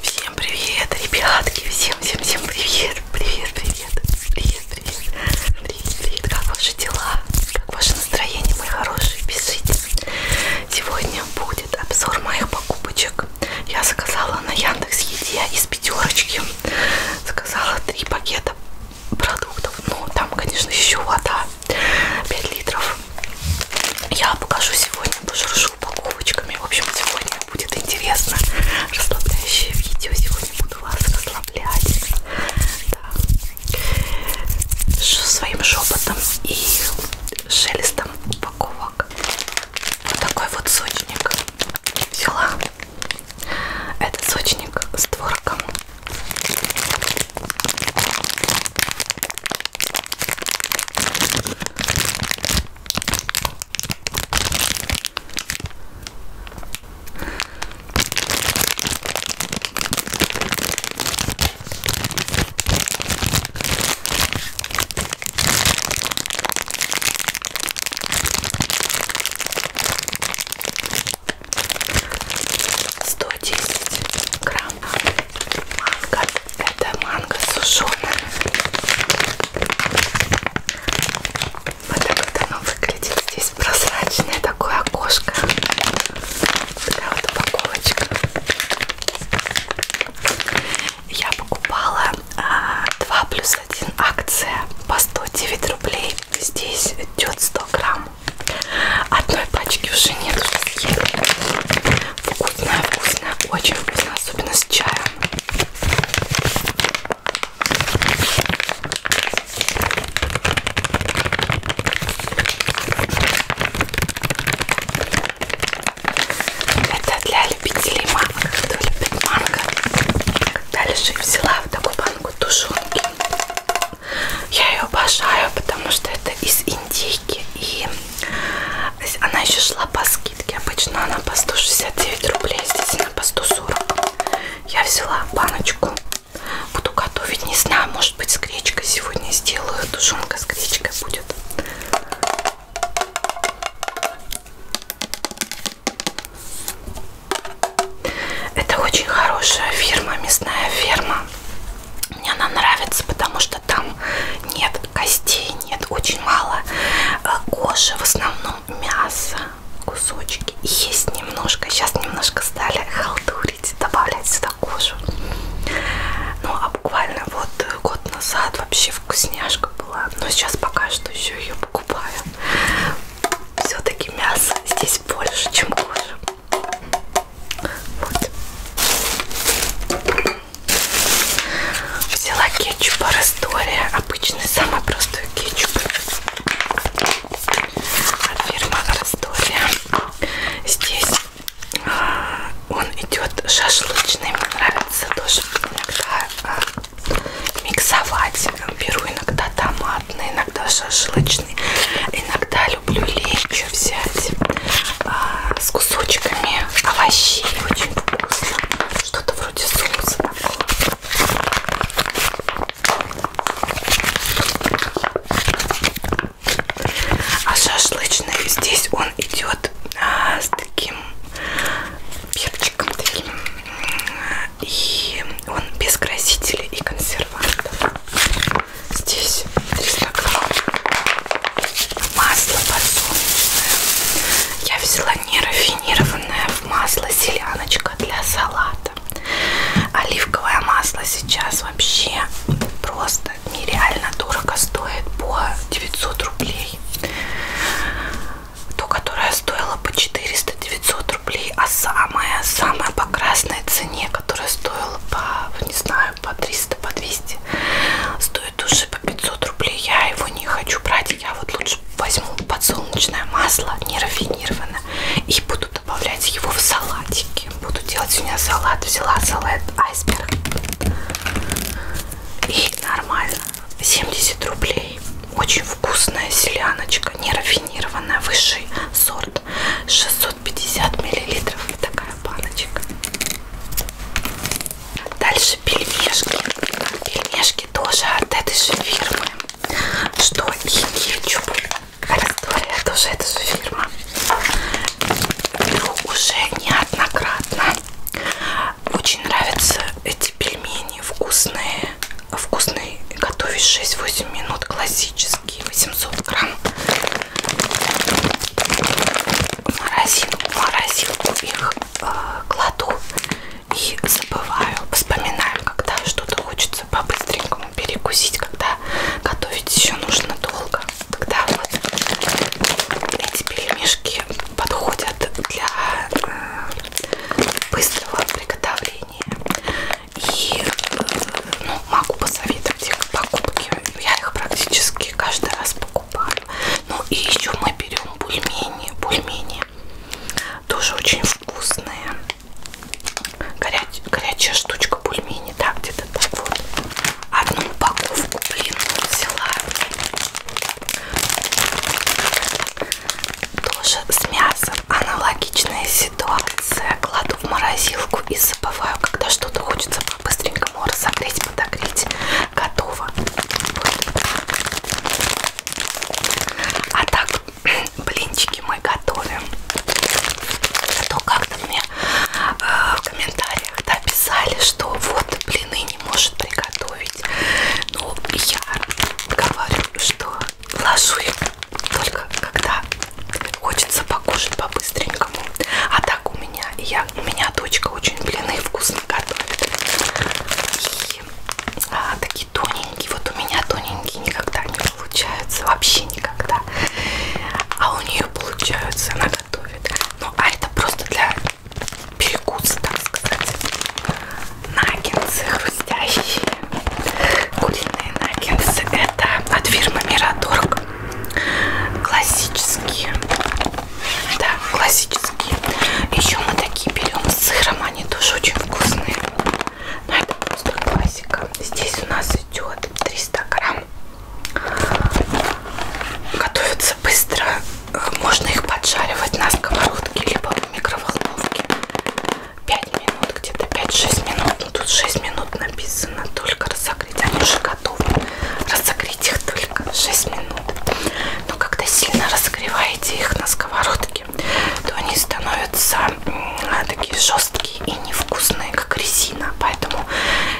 Всем привет, ребятки! Всем, всем, всем привет! Привет, привет! Привет, привет! Привет, привет! Как ваши дела? Как ваше настроение, мои хорошие? Пишите! Сегодня будет обзор моих покупочек. Я заказала на Яндекс Еде из пятерочки. Заказала три пакета продуктов. Ну, там, конечно, еще вода. 5 литров. Я покажу сегодня, пошуршу упаковочками. В общем, сегодня будет интересно. Расслабляющее видео. Сегодня буду вас расслаблять. Да. Своим шепотом и шелестом упаковок. Вот такой вот сочник взяла. Это сочник с творогом. 110 грамм манго это манго сушеная. Вот так вот оно выглядит. Здесь прозрачное такое окошко. Такая вот упаковочка. Я покупала а, 2 плюс 1 акция по 109 рублей. Здесь идет 100 грамм. Одной пачки уже нет, уже съела. Вкусная, вкусная, очень вкусная, особенно с чаем. Это для любителей манго, кто любит манго. Дальше взяла вот такую банку тушенки. Я ее обожаю, потому что это из индейки и она еще шла по скидке. Обычно она по 169 рублей, здесь она по 140. Я взяла баночку. Буду готовить, не знаю, может быть с гречкой сегодня сделаю. Тушенка с гречкой будет. Это очень хорошая фирма, мясная фирма. Мне она нравится, потому что там нет костей, нет, очень мало э, кожи, в основном мясо, кусочки. Есть немножко, сейчас немножко стали халтурить, добавлять сюда кожу. Ну, а буквально вот год назад вообще вкусняшка была, но сейчас пока что еще ее покупаю. Все-таки мясо здесь больше, чем кожа. Вот. Взяла кетчуп Раствория, обычный, самый простой кетчуп от а фирмы Раствория. Здесь а, он идет шашлычный, мне нравится тоже иногда а, миксовать. Беру иногда томатный, иногда шашлычный, иногда люблю лечо взять. А, с кусочками овощей. Очень вкусно. Что-то вроде соуса такого. А шашлычный здесь он идет а, с таким перчиком таким. И он без красителей и консервантов. Здесь 300 грамм масло подсолнечное. Я взяла нерафинированное масло селяночка для салата. Оливковое масло сейчас вообще просто нереально дорого стоит по 900 рублей. То, которое стоило по 400-900 рублей, а самое, самое по красной цене, которое стоило по, не знаю, знаю, по 300, по 200. Стоит души по 500 рублей. Я его не хочу брать. Я вот лучше возьму подсолнечное масло, нерафинированное, и буду добавлять его в салатики. Буду делать у меня салат. Взяла салат айсберг. И нормально. 70 рублей. Очень вкусная селяночка, нерафинированная, высший сорт. 650 миллилитров. Такая баночка. Дальше пельмешки. Пельмешки тоже от этой же фирмы. Что и кетчуп. Раздория тоже эта же фирма. Беру ну, уже неоднократно. Очень нравятся эти пельмени. Вкусные. Вкусные. Готовишь 6-8 минут. Классические. 800 грамм в морозилку, в морозилку их э, кладу и забываю, вспоминаю, когда что-то хочется по-быстренькому перекусить, когда готовить еще нужно долго. Тогда вот эти пельмешки подходят для э, быстрого приготовления. И э, ну, могу посоветовать их к покупке. Я их практически каждый раз покупаю покупаю. Ну и еще мы берем бульмени. Бульмени тоже очень вкусные. Горя... Горячая штучка бульмени, да, где-то так вот. Одну упаковку, блин, взяла. Тоже с мясом аналогичная ситуация. Кладу в морозилку и забываю, когда что-то хочется быстренько его разогреть, подогреть. Готово. А так блинчики мы готовим. А то как-то мне э, в комментариях да, писали, что вот блины не может приготовить. Ну, я говорю, что ложу их только когда хочется покушать по-быстренькому. А так у меня я знаете, у меня дочка очень блины вкусно готовит. И а, такие тоненькие, вот у меня тоненькие никогда не получаются, вообще никогда. А у нее получаются, она готовит. Ну, а это просто для перекуса, так сказать. Наггетсы хрустящие. Куриные наггетсы. Это от фирмы Мираторг. Классические. Да, классические. Еще мы такие берем с сыром, они тоже очень вкусные. Но это просто классика. Здесь у нас идет 300 грамм. Готовятся быстро. Э, можно их поджаривать на сковородке, либо в микроволновке. 5 минут, где-то 5-6 минут. Ну, тут 6 минут написано. Только разогреть. Они уже готовы. Разогреть их только 6 минут. Но когда сильно разогреваете их на сковородке, то они становятся такие жесткие и невкусные, как резина. Поэтому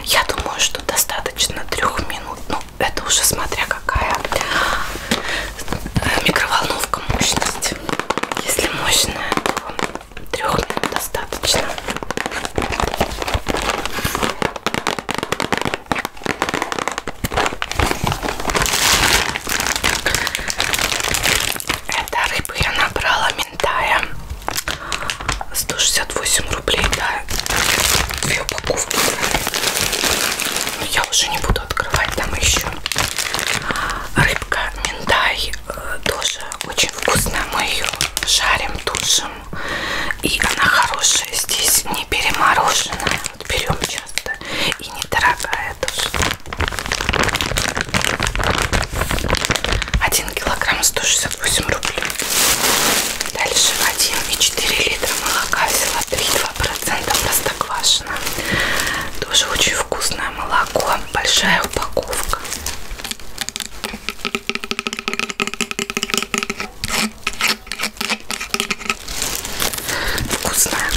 я думаю, что достаточно 3 минут. Ну, это уже смотря какая э, микроволновка мощность. Если мощная, то 3 минут достаточно. Это рыбу я набрала ментая. 168 рублей, да. Две упаковки. Но я уже не буду открывать там еще. Рыбка миндай э, тоже очень вкусная. Мы ее жарим, тушим. И она хорошая здесь, не перемороженная. Вот берем часто и недорогая тоже. 1 килограмм 168 рублей. Дальше 1,4 литра молока, взяла 3,2% простоквашино. Тоже очень вкусное молоко, большая упаковка. Вкусная.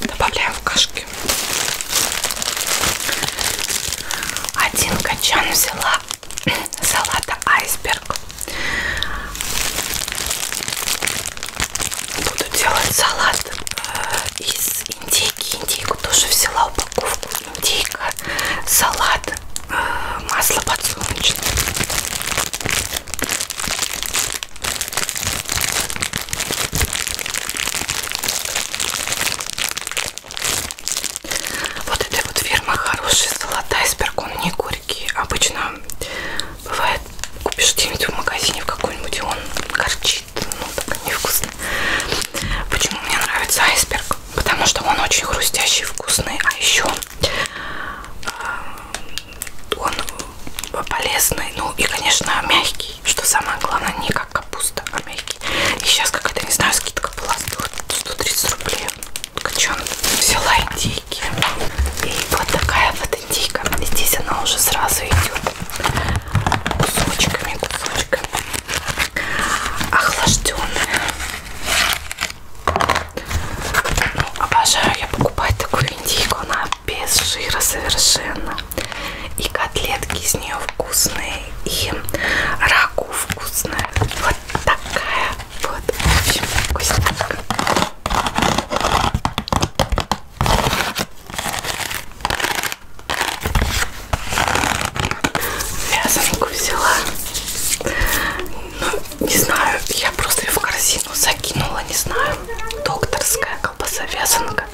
Добавляю в кашки. Один качан взяла салата айсберг. Буду делать салат э, из индейки. Индейку тоже взяла упаковку. Индейка, салат, э, масло подсолнечное. Вот эта вот фирма хороший салат айсберг, он не горький. Обычно Бывает, купишь где-нибудь в магазине в какой-нибудь, и он горчит, ну, так невкусно. Почему мне нравится айсберг? Потому что он очень хрустящий, вкусный, а еще а, он полезный, ну и, конечно, мягкий, что самое главное, не как капуста, а мягкий. И сейчас какая-то, не знаю, скидка была, 130 рублей. Качан взяла индейки. И вот такая вот индейка. Здесь она уже сразу идет кусочками, кусочками охлажденная. Ну, обожаю я покупать такую индейку, она без жира совершенно. И котлетки из нее вкусные, и раку вкусная. Вот такая вот, в общем, вкуснятка. Вязанку взяла. Ну, не знаю, я просто ее в корзину закинула, не знаю. Докторская колбаса вязанка.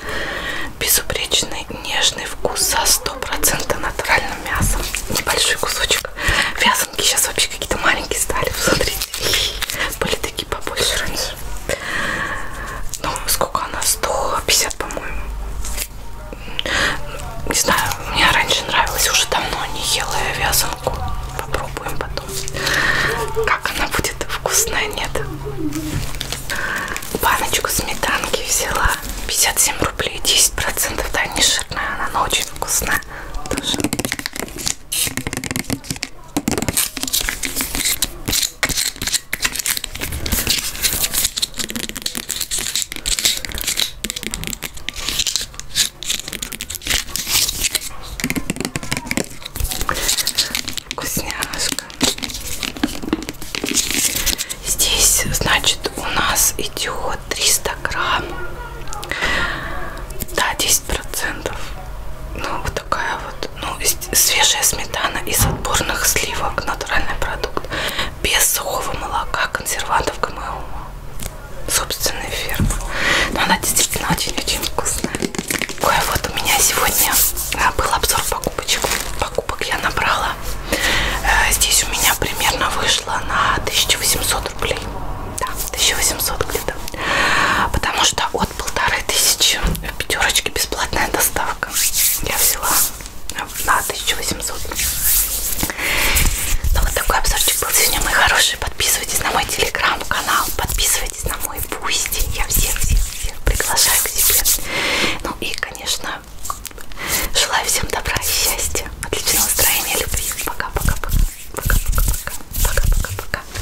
Безупречный нежный вкус за 100% натуральным мясом. Небольшой кусочек. Вязанки сейчас вообще какие-то маленькие стали, посмотрите. Были такие побольше раньше. Ну, сколько она? 150, по-моему. Не знаю, мне раньше нравилось, уже давно не ела я вязанку. Попробуем потом. Как она будет вкусная, нет? Баночку сметанки взяла. 57 рублей, 10%. Да, не жирная она, но очень вкусная. Тоже. Вкусняшка. Здесь, значит, у нас идет 300 грамм. Да, здесь 10 процентов ну вот такая вот ну свежая сметана из отборных сливок натуральный продукт без сухого молока консервантов гмо собственная ферма но она действительно очень очень вкусная Ой, вот у меня сегодня а, был обзор покупочек покупок я набрала э, здесь у меня примерно вышло на 1800 рублей да, 1800 где-то потому что от полторы тысячи э, пятерочки бесплатная доставка. Я взяла на 1800. Ну вот такой обзорчик был сегодня, мои хорошие. Подписывайтесь на мой телеграм-канал, подписывайтесь на мой бусти. Я всех-всех-всех приглашаю к себе. Ну и, конечно, желаю всем добра и счастья, отличного настроения, любви. Пока-пока-пока. Пока-пока-пока. Пока-пока-пока.